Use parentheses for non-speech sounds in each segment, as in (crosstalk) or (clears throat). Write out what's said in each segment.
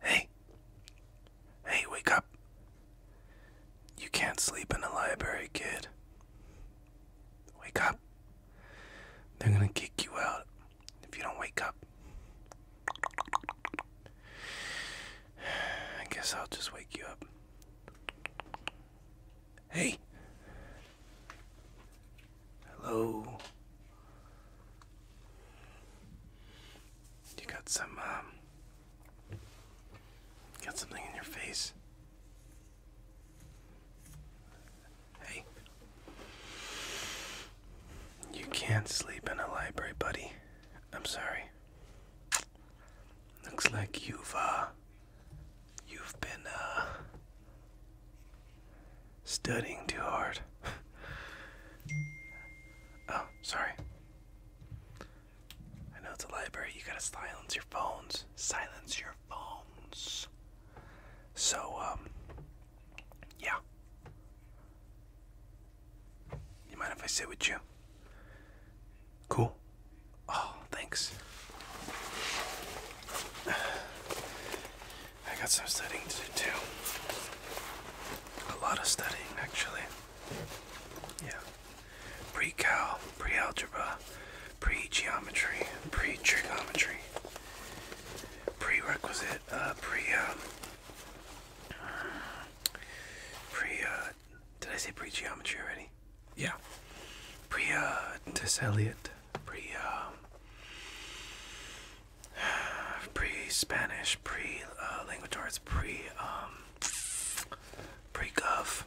Hey! Hey, wake up! You can't sleep in a library, kid. Wake up! They're gonna kick you out if you don't wake up. I guess I'll just wake you up. Hey! Hello? You got some, um, got something in your face. Hey, you can't sleep in a library, buddy. I'm sorry. Looks like you've, uh, you've been, uh, studying too hard. (laughs) Oh, sorry. I know it's a library. You gotta silence your phones. Silence your phones. So, um, yeah. You mind if I sit with you? Cool. Oh, thanks. (sighs) I got some studying to do too a lot of studying actually. Yeah. Pre-cal, pre-algebra, pre-geometry, pre-trigonometry, prerequisite, uh, pre, um, pre, uh, did I say pre-geometry already? Yeah. Pre, uh, Tesseliot, pre, um, (sighs) pre-Spanish, pre-Languagearts, pre, um, pre-gov,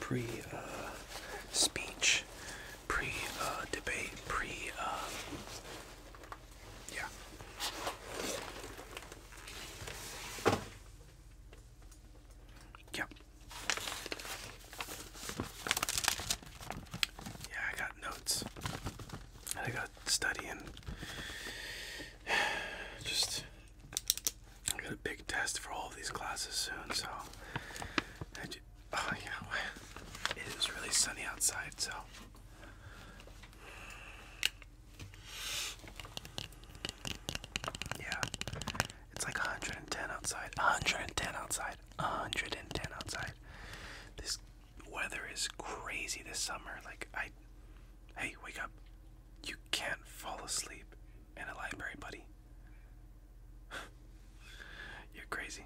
pre-speech, pre-debate, pre, uh, uh, um, yeah. Yeah. Yeah, I got notes. I got studying. (sighs) Just I got a big test for all of these classes soon, so oh yeah, (sighs) it is really sunny outside, so. Yeah, it's like 110 outside. 110 outside. 110 outside. This Weather is crazy this summer. Like I, hey, wake up! You can't fall asleep in a library, buddy. (sighs) You're crazy.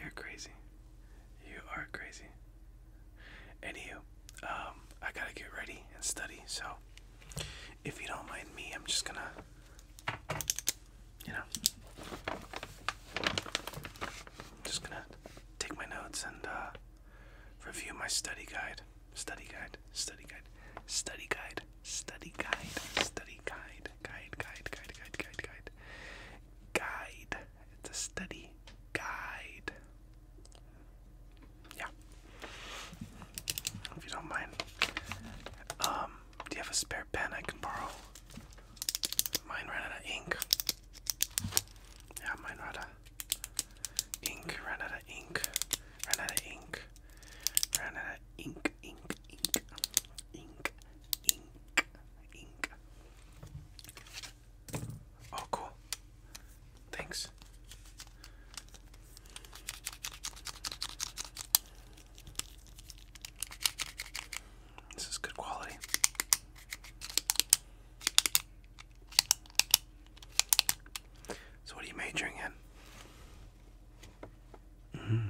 You're crazy. You are crazy. Anywho, um, I gotta get ready and study. So, if you don't mind me, I'm just gonna, you know, just gonna take my notes and. Uh, Review my study guide. Study guide. Study guide. Study guide. Study guide. Study guide. Guide. Guide. Guide. Guide. Guide. Guide. Guide. It's a study guide. Yeah. If you don't mind. Um, do you have a spare pen I can borrow? Mine ran out of ink. Yeah, ran out of ink, ran out of ink, ran out of ink, ran out of ink, ink, ink, ink, ink, ink. Oh, cool. Thanks. This is good quality. So, what are you majoring in? -hmm.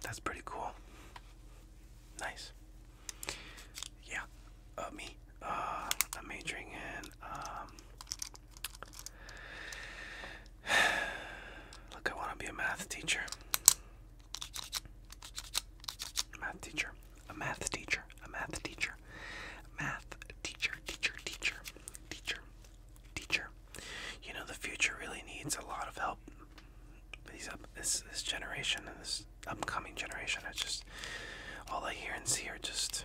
That's pretty cool. Nice. Yeah, uh, me. Uh, I'm majoring in. Um, (sighs) look, I want to be a math teacher. A math teacher. A math teacher. A math teacher. A math teacher. Teacher. Teacher. Teacher. Teacher. You know the future really needs a lot of help. These up this this generation and this upcoming generation. I just all I hear and see are just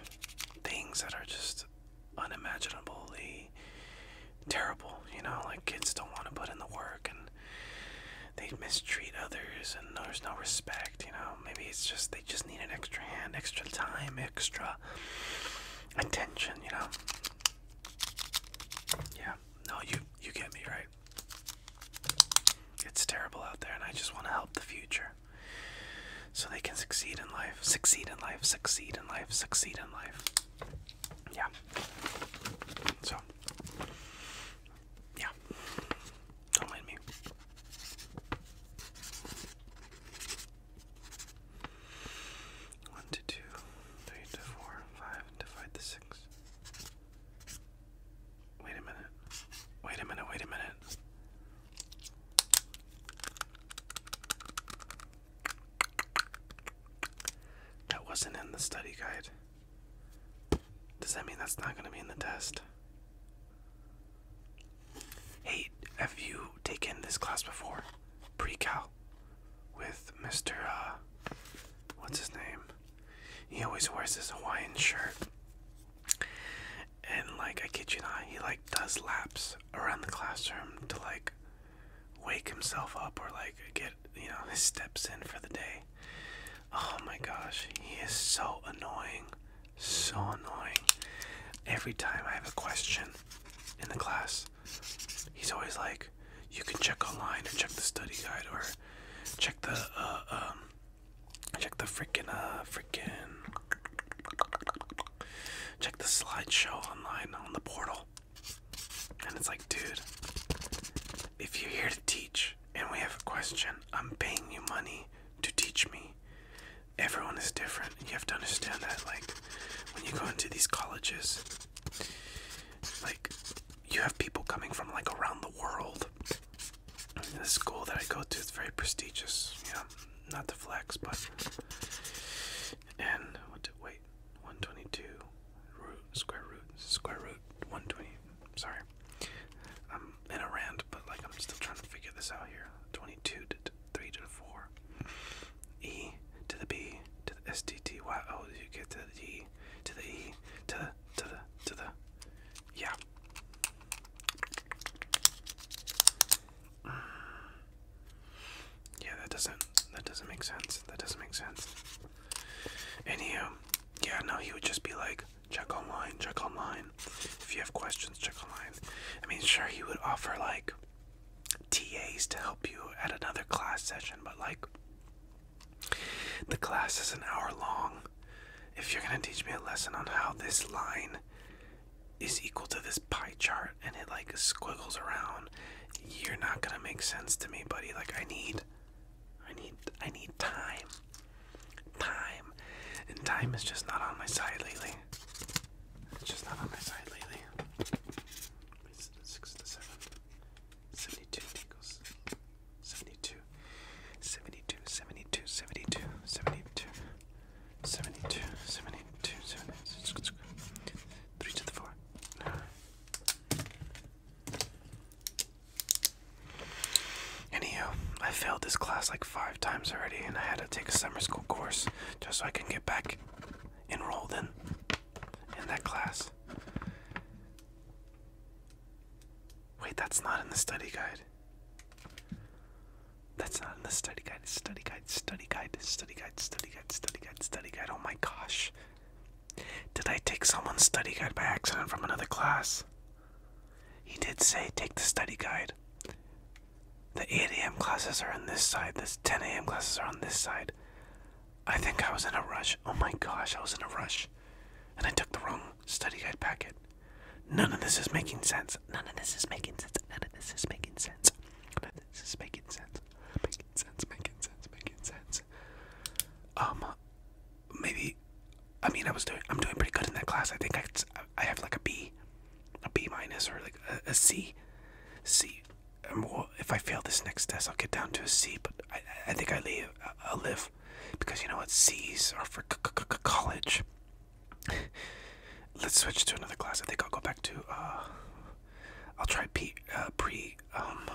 things that are just unimaginably terrible. You know, like kids don't want to put in the work and they mistreat others and there's no respect, you know. Maybe it's just they just need an extra hand, extra time, extra attention, you know. Yeah. No, you you get me, right? It's terrible out there and I just want to help the future. So they can succeed in life, succeed in life, succeed in life, succeed in life. Yeah. So yeah, don't mind me. One to two, three to four, five divide the six. Wait a minute. Wait a minute, wait a minute. That wasn't in the study guide. Does that mean that's not going to be in the test? Hey, have you taken this class before? pre with Mr. Uh, what's his name? He always wears his Hawaiian shirt. And like I kid you not, he like does laps around the classroom to like wake himself up or like get you know his steps in for the day. Oh my gosh, he is so annoying. So annoying. Every time I have a question in the class, he's always like, you can check online or check the study guide or check the, uh, um, check the freaking, uh, freaking, check the slideshow online on the portal. And it's like, dude, if you're here to teach and we have a question, I'm paying you money to teach me. Everyone is different. You have to understand that. Like, when you go into these colleges, like, you have people coming from like around the world. The school that I go to is very prestigious. You know, not the flex, but. And what? Did, wait, 122 square root square root 120. Sorry. I'm in a rant, but like I'm still trying to figure this out here. 22 to 3 to the 4. E to the B to the S T T Y O. You get to the E to the E to the to the to the. Yeah. Yeah, that doesn't that doesn't make sense. That doesn't make sense. Anywho, um, yeah, no, he would just be like, Check online, check online. If you have questions, check online. I mean, sure, he would offer like TAs to help you at another class session, but like the class is an hour long. If you're gonna teach me a lesson on how this line is equal to this pie chart and it like squiggles around, you're not gonna make sense to me, buddy. Like, I need I need I need time. Time. And time is just not on my side lately. It's just not on my side lately. Six to seven. Seventy-two tickles. Three to the four. Anywho, I failed this class like five times already, and I had to take a summer school course just so I can get back enrolled in in that class. Wait, that's not in the study guide. That's not in the study guide. Study guide. Study guide. Study guide. Study guide. Study guide. Study guide. Oh my gosh! Did I take someone's study guide by accident from another class? He did say take the study guide. The 8 a.m. classes are on this side, the 10 a.m. classes are on this side. I think I was in a rush. Oh my gosh, I was in a rush. And I took the wrong study guide packet. None of this is making sense. None of this is making sense. None of this is making sense. None of this is making sense. Making sense, making sense, making sense. Um, maybe I mean I was doing I'm doing pretty good in that class. I think I I have like a B, a B minus or like a C, C. well, if I fail this next test, I'll get down to a C. But I I think I leave I live, because you know what C's are for college. (laughs) Let's switch to another class. I think I'll go back to uh, I'll try P uh, pre um,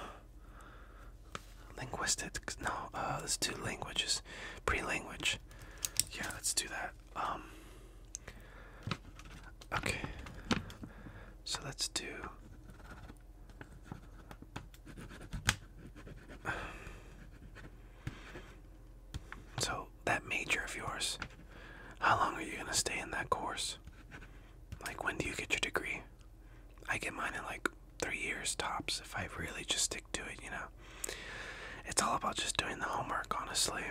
Linguistic? No, uh, let's do languages. Pre-language. Yeah, let's do that. Um. Okay. So let's do. So that major of yours. How long are you gonna stay in that course? Like, when do you get your degree? I get mine in like three years tops if I really just stick to it, you know. It's all about just doing the homework, honestly.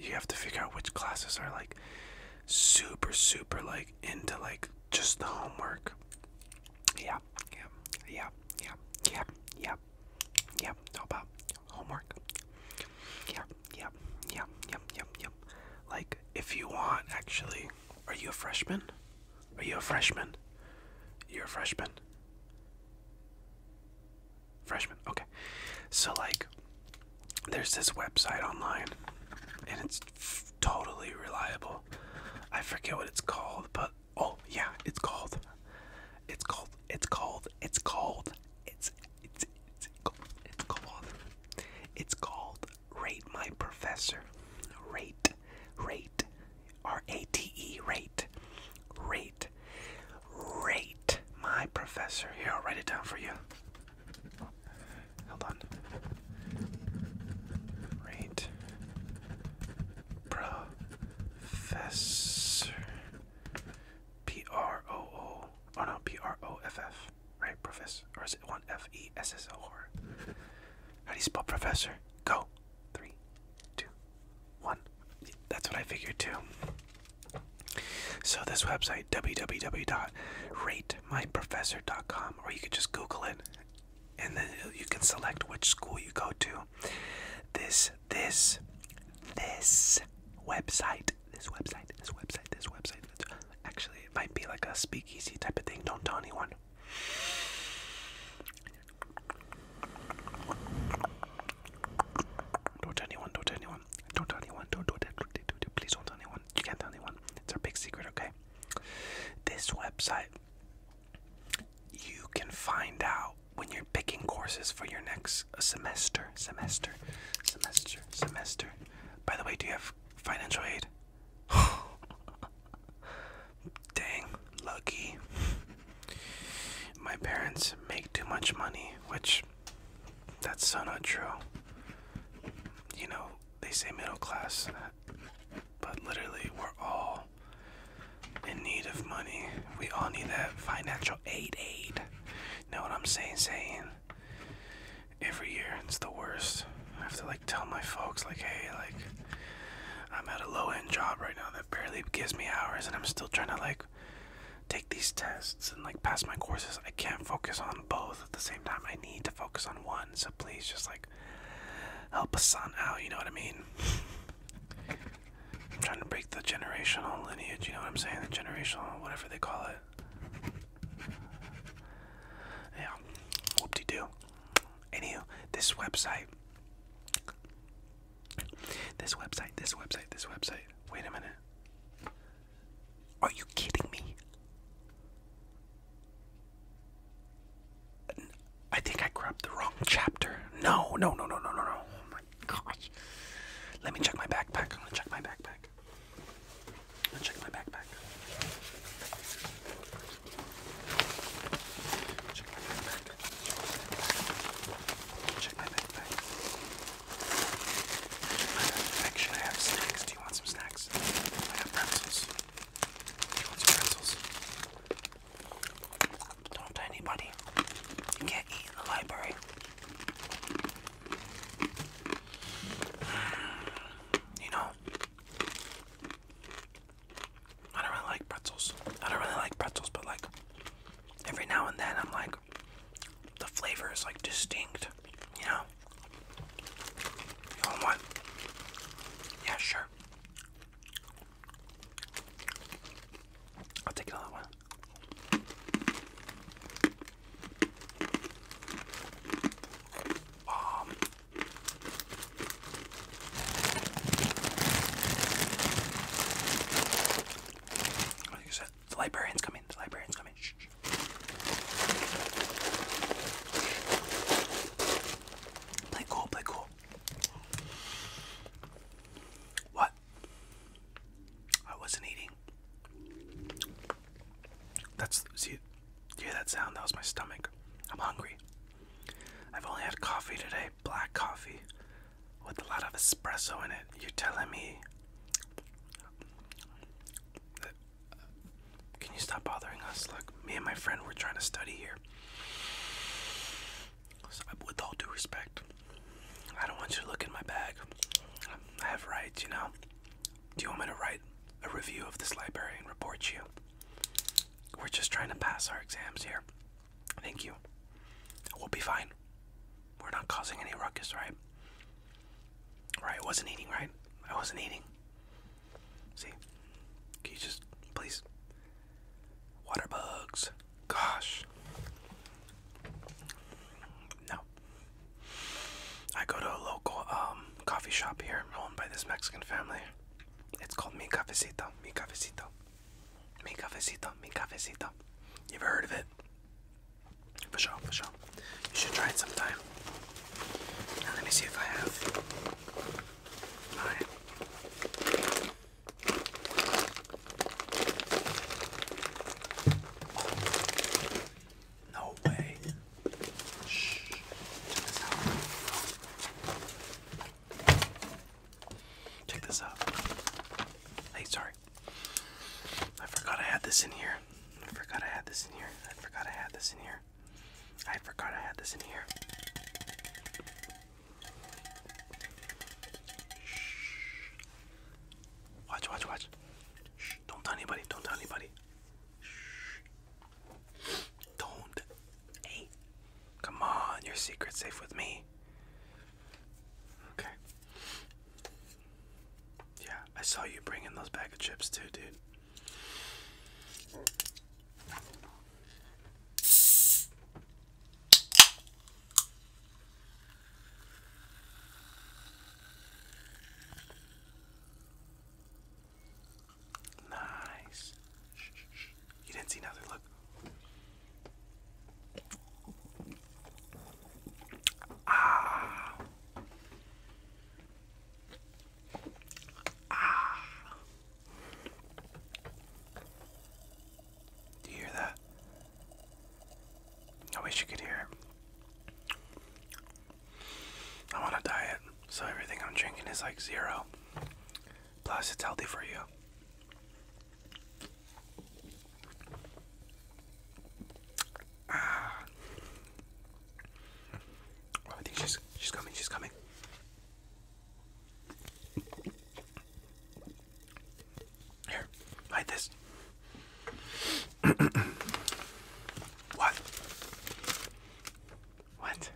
You have to figure out which classes are like super, super like into like just the homework. Yeah, yeah, yeah, yeah, yeah, yeah, yeah. It's all about homework. Yeah, yeah, yeah, yeah, yeah, yeah. Like, if you want, actually, are you a freshman? Are you a freshman? You're a freshman. Freshman, okay. So, like, there's this website online, and it's totally reliable. I forget what it's called, but oh, yeah, it's called. It's called, it's called, it's called, it's, it's, it's, called, it's called, called Rate My Professor. Rate, rate rate r-a-t-e rate rate my professor here i'll write it down for you hold on rate professor p-r-o-o oh no p-r-o-f-f right professor or is it one f-e-s-s-o-r how do you spell professor go three two one. That's what I figured too. So this website www.ratemyprofessor.com or you could just google it and then you can select which school you go to. This this this website, this website, this website, this website. Actually, it might be like a speakeasy type of thing. Don't tell anyone. Don't tell anyone, don't tell anyone. Don't tell anyone, don't do that. Please don't tell anyone. You can't tell anyone. It's our big secret, okay? This website, you can find out when you're picking courses for your next semester, semester, semester, semester. By the way, do you have financial aid? (laughs) (laughs) Dang, lucky. My parents make too much money, which that's so not true. You know, they say middle class, but literally we're all in need of money. We all need that financial aid aid. Know what I'm saying? Saying every year it's the worst. I have to like tell my folks like, hey, like I'm at a low end job right now that barely gives me hours, and I'm still trying to like take these tests and like pass my courses. I can't focus on both at the same time. I need to focus on one. So please, just like help us son out. You know what I mean? I'm trying to break the generational lineage. You know what I'm saying? The generational, whatever they call it. Yeah, whoop-de-doo. Anywho, this website this website, this website, this website. Wait a minute. Are you kidding me? I think I grabbed the wrong chapter. No, no, no, no, no, no, no. Oh my gosh. Let me check my backpack. I'm gonna check my backpack. I'm gonna check my backpack. Check my backpack. Check my backpack. Check my backpack. Should I have snacks? Do you want some snacks? I have pretzels. Do you want some pretzels? Don't tell anybody. You can't eat in the library. (sighs) You know, I don't really like pretzels. I don't really like pretzels, but like every now and then I'm like, the flavor is like distinct, you know? one? Yeah, sure. I'll take another one. Um, the librarian's coming. The librarian's coming. Play cool. Play cool. What? I wasn't eating. That's see. Hear that sound? That was my stomach. I'm hungry. I've only had coffee today, black coffee with a lot of espresso in it. You're telling me. can you stop bothering us? Look, me and my friend were trying to study here. with all due respect, I don't want you to look in my bag. I have rights, you know. Do you want me to write a review of this library and report you? We're just trying to pass our exams here. Thank you. We'll be fine. We're not causing any ruckus, right? Right, I wasn't eating, right? I wasn't eating. See? Can you just please? Water bugs. Gosh. No. I go to a local um, coffee shop here owned by this Mexican family. It's called Mi Cafecito. Mi Cafecito. Mi cafecito, mi cafecito. You ever heard of it? For sure, for sure. You should try it sometime. let me see if I have. No way. Check this out. Hey, sorry. I forgot I had this in here. I forgot I had this in here. I forgot I had this in here. I forgot I had this in here. Shh. Watch, watch, watch. Don't tell anybody. Don't tell anybody. Shh. Don't. Hey. Come on. Your secret's safe with me. Okay. Yeah, I saw you bringing those bag of chips too, dude. Nice. You didn't see nothing. Look. Ah. Ah. Do you hear that? I wish you could hear I'm on a diet, so everything I'm drinking is like zero. Plus, it's healthy for you. Ah. Oh, she's she's coming. She's coming. Here, like this. (clears throat) what? What?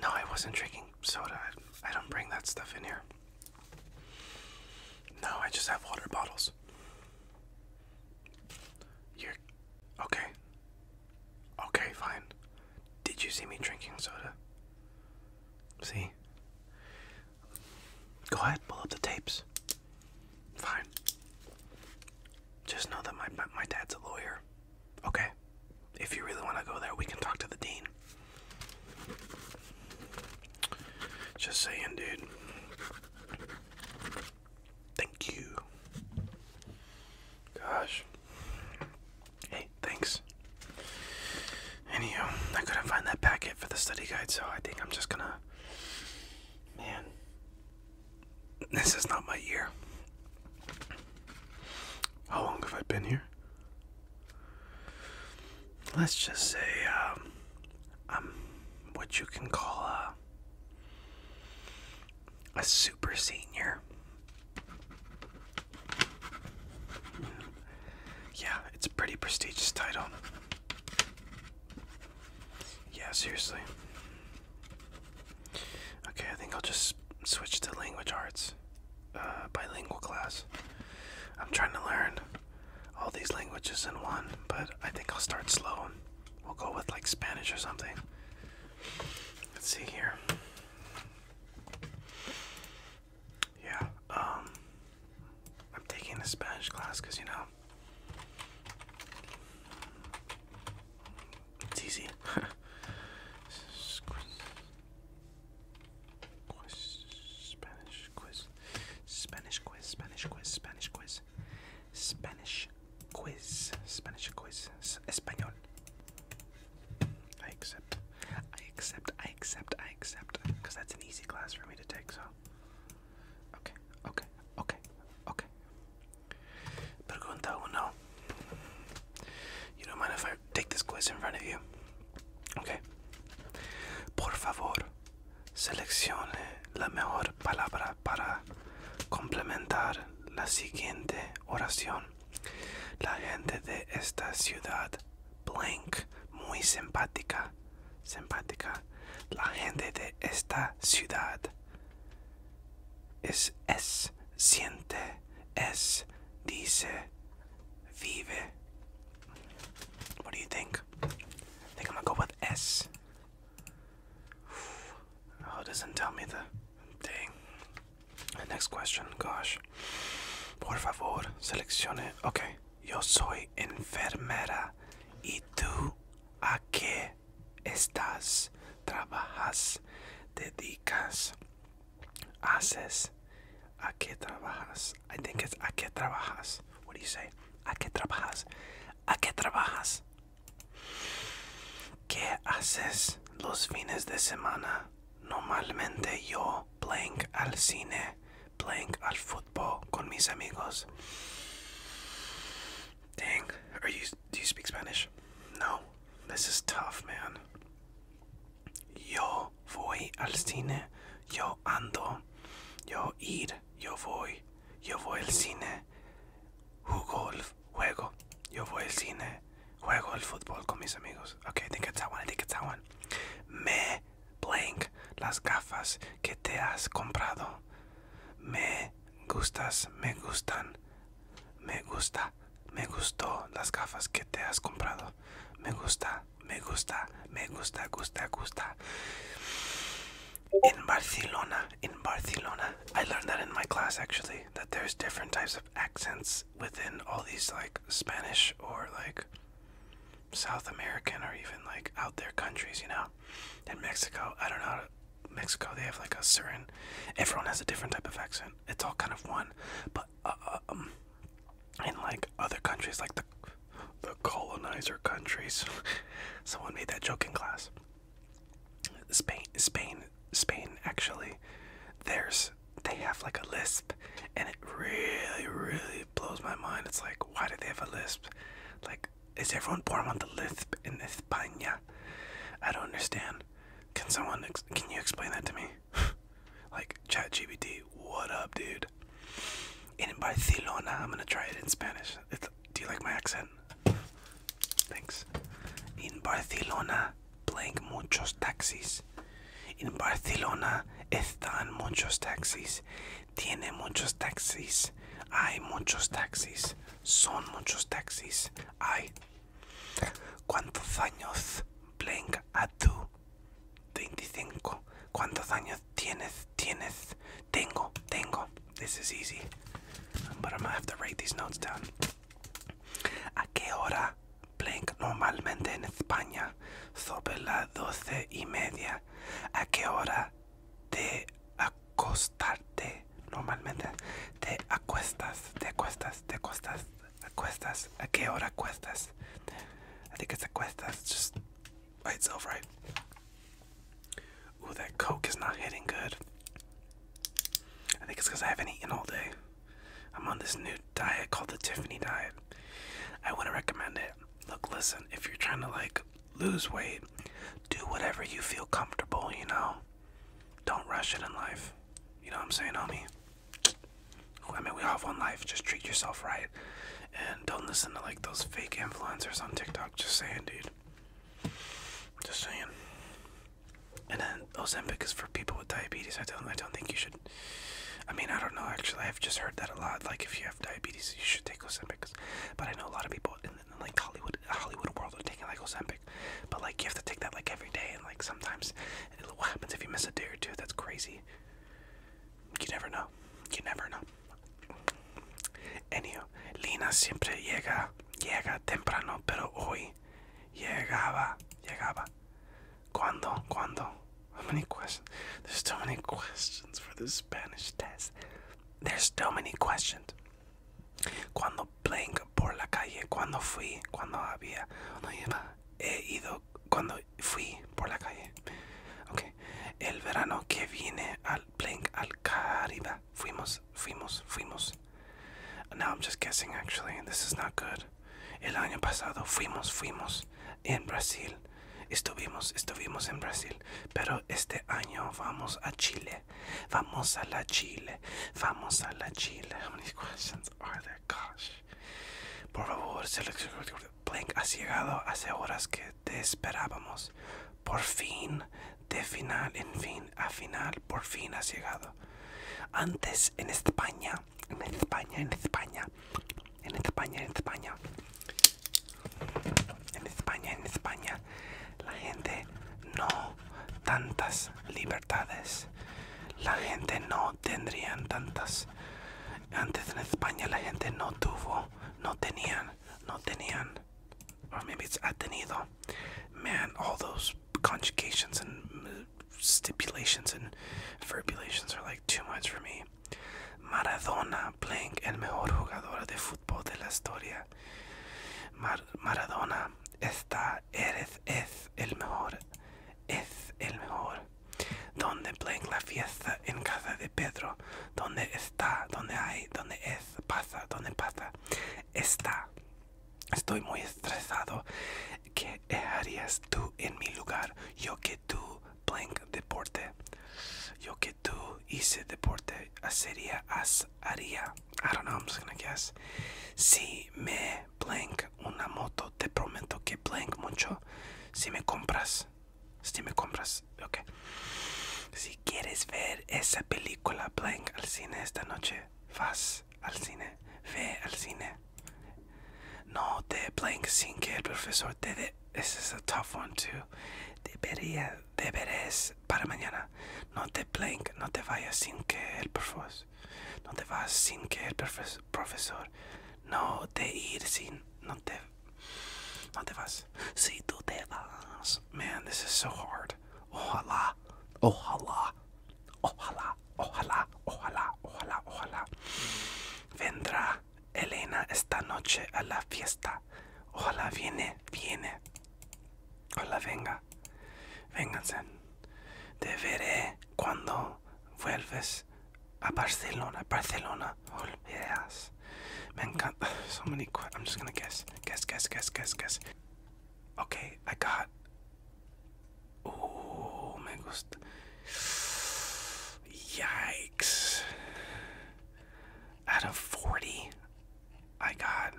No, I wasn't drinking soda. I, don't bring that stuff in here. No, I just have water bottles. you Okay. Okay, fine. Did you see me drinking soda? See? Go ahead, pull up the tapes. Fine. Just know that my, my dad's a lawyer. Okay? If you really want to go there, we can talk to the dean. Just saying, dude. Thank you. Gosh. Hey, thanks. Anywho, I couldn't find that packet for the study guide, so I think I'm just gonna. Man. This is not my year. How long have I been here? let's just say um, I'm what you can call a, a super senior. Yeah, it's a pretty prestigious title. Yeah, seriously. Okay, I think I'll just switch to language arts. Uh, bilingual class. I'm trying to learn all these languages in one, but I think I'll start slow. We'll go with like Spanish or something. Let's see here. Yeah, um, I'm taking the Spanish class because you know it's easy. (laughs) Quiz, Spanish quiz, Spanish quiz, Spanish quiz, Spanish quiz, Spanish quiz, Spanish quiz, S Español. I accept, I accept, I accept, I accept, because that's an easy class for me to take, so. Okay, okay, okay, okay. Pregunta uno. You don't mind if I take this quiz in front of you. Okay. Por favor, seleccione la mejor palabra para complementar la siguiente oración. La gente de esta ciudad, blank, muy simpática. Simpática. La gente de esta ciudad es, es, siente, es, dice, Vive. What do you think? I think I'm gonna go with S. Oh, doesn't tell me the thing. Next question, gosh. Por favor, seleccione. Okay. Yo soy enfermera. ¿Y tú a qué estás? ¿Trabajas? ¿Dedicas? haces? ¿A qué trabajas? I think it's ¿a qué trabajas? What do you say? ¿A qué trabajas? ¿A qué trabajas? ¿Qué haces los fines de semana? Normalmente yo playing al cine, playing al fútbol con mis amigos. Dang, are you do you speak Spanish? No. This is tough, man. Yo voy al cine, yo ando, yo ir, yo voy, yo voy al cine, Juego. juego, yo voy al cine, juego el fútbol con mis amigos. Okay, I think Me las gafas que te has comprado. Me gustas, me gustan, me gusta, me gustó las gafas que te has comprado. Me gusta, me gusta, me gusta, gusta, gusta. In Barcelona, in Barcelona, I learned that in my class actually, that there's different types of accents within all these like Spanish or like South American or even like out there countries, you know. In Mexico, I don't know. Mexico, they have like a certain. Everyone has a different type of accent. It's all kind of one, but uh, um, in like other countries, like the the colonizer countries. (laughs) Someone made that joke in class. Spain, Spain, Spain. Actually, there's they have like a lisp, and it really, really blows my mind. It's like, why do they have a lisp? Like, is everyone born with a lisp in España? I don't understand. Can someone? Can you explain that to me? (laughs) like ChatGPT, what up, dude? In Barcelona, I'm gonna try it in Spanish. It's, do you like my accent? Thanks. In Barcelona, playing muchos taxis. In Barcelona, están muchos taxis. Tiene muchos taxis. Hay muchos taxis. Son muchos taxis. Hay. ¿Cuántos años playing a tu 25. ¿Cuántos años tienes? Tienes. Tengo. Tengo. This is easy. But I'm to have to write these notes down. ¿A qué hora blank normalmente en España? Sobre las doce y media. ¿A qué hora te acostarte? Normalmente te acuestas, te acuestas, te acuestas. Acuestas. ¿A qué hora acuestas? I think it's acuestas. Just by itself, right? Ooh, that Coke is not hitting good. I think it's because I haven't eaten all day. I'm on this new diet called the Tiffany diet. I wouldn't recommend it. Look, listen, if you're trying to like lose weight, do whatever you feel comfortable, you know? Don't rush it in life. You know what I'm saying, homie? I mean, we all have one life. Just treat yourself right, and don't listen to like those fake influencers on TikTok. Just saying, dude. Just saying. And then Ozempic is for people with diabetes. I don't. I don't think you should. I mean, I don't know. Actually, I've just heard that a lot. Like, if you have diabetes, you should take Ozempic. But I know a lot of people in, like Hollywood, Hollywood world are taking like Ozempic. But like, you have to take that like every day, and like sometimes, it, what happens if you miss a day or two? That's crazy. You never know. You never know. Anywho, Lina siempre llega, llega temprano, pero hoy llegaba, llegaba. ¿Cuándo? ¿Cuándo? How many questions? There's too many questions for the Spanish test. There's too many questions. Cuando blank por la calle, cuando fui, cuando había, cuando iba, he ido, cuando fui por la calle. Okay. El verano que viene al Blink al Caribe. Fuimos, fuimos, fuimos. Now I'm just guessing actually, this is not good. El año pasado fuimos, fuimos en Brasil. Estuvimos, estuvimos en Brasil. Pero este año vamos a Chile. Vamos a la Chile. Vamos a la Chile. How questions are there? Por favor, Plank, has llegado hace horas que te esperábamos. Por fin, de final en fin, a final, por fin has llegado. Antes en España, en España, en España, en España, en España, en España, en España, la gente no tantas libertades. La gente no tendrían tantas antes en España la gente no tuvo, no tenían, no tenían, or maybe it's ha tenido. Man, all those conjugations and uh, stipulations and verbulations are like too much for me. Maradona playing el mejor jugador de fútbol de la historia. Maradona esta eres, es el mejor, es el mejor donde Blank la fiesta en casa de Pedro, donde está, donde hay, donde es, pasa, donde pasa, está. Estoy muy estresado. ¿Qué harías tú en mi lugar? Yo que tú, Blank, deporte. Yo que tú hice deporte, ¿Hacería? as, haría. I don't know, I'm just to guess. Si me, Blank, una moto. Te prometo que Blank mucho. Si me compras, si me compras, ok. Si quieres ver esa película Blank al cine esta noche, vas al cine, ve al cine. No te, Blank sin que el profesor te dé. This is a tough one too. Debería, deberes para mañana. No te Blank, no te vayas sin que el profesor. No te vas sin que el profesor, profesor. No te ir sin, no te, no te vas. Si tú te vas, man, this is so hard. Ojalá, ojalá, ojalá, ojalá, ojalá, ojalá, ojalá. Vendrá Elena esta noche a la fiesta. Ojalá viene, viene. Ojalá venga. Vénganse. Te veré cuando vuelves a Barcelona. Barcelona. Oh, yes. Me encanta. (sighs) So many questions. I'm just gonna guess. Guess, guess, guess, guess, guess. Okay, I got. Oh, me gusta. Yikes. Out of 40, I got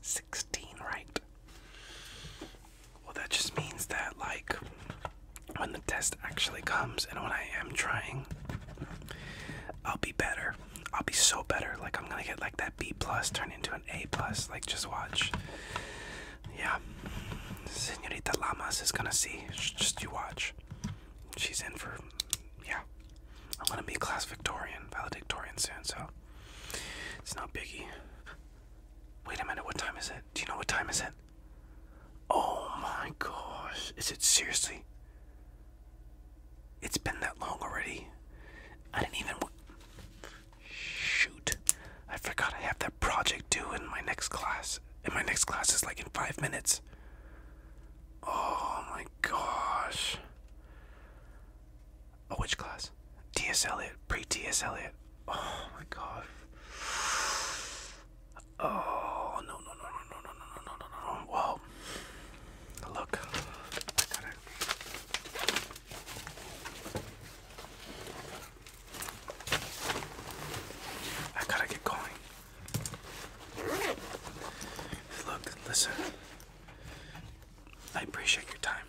16 right. Well, that just means that, like, when the test actually comes and when I am trying, I'll be better. I'll be so better. Like, I'm gonna get, like, that B plus turn into an A plus. Like, just watch. Yeah. Senorita Lamas is gonna see. Just you watch. She's in for, yeah. I'm gonna be class Victorian, valedictorian soon, so it's not biggie. Wait a minute, what time is it? Do you know what time is it? Oh my gosh, is it seriously? It's been that long already. I didn't even. Shoot. I forgot I have that project due in my next class. And my next class is like in five minutes. Oh my gosh. Oh, which class? T.S. Eliot, pre T.S. Eliot. Oh my gosh. Oh no no no no no no no no no no no. Well look. I got it. I gotta get going. Look, listen. I appreciate your time.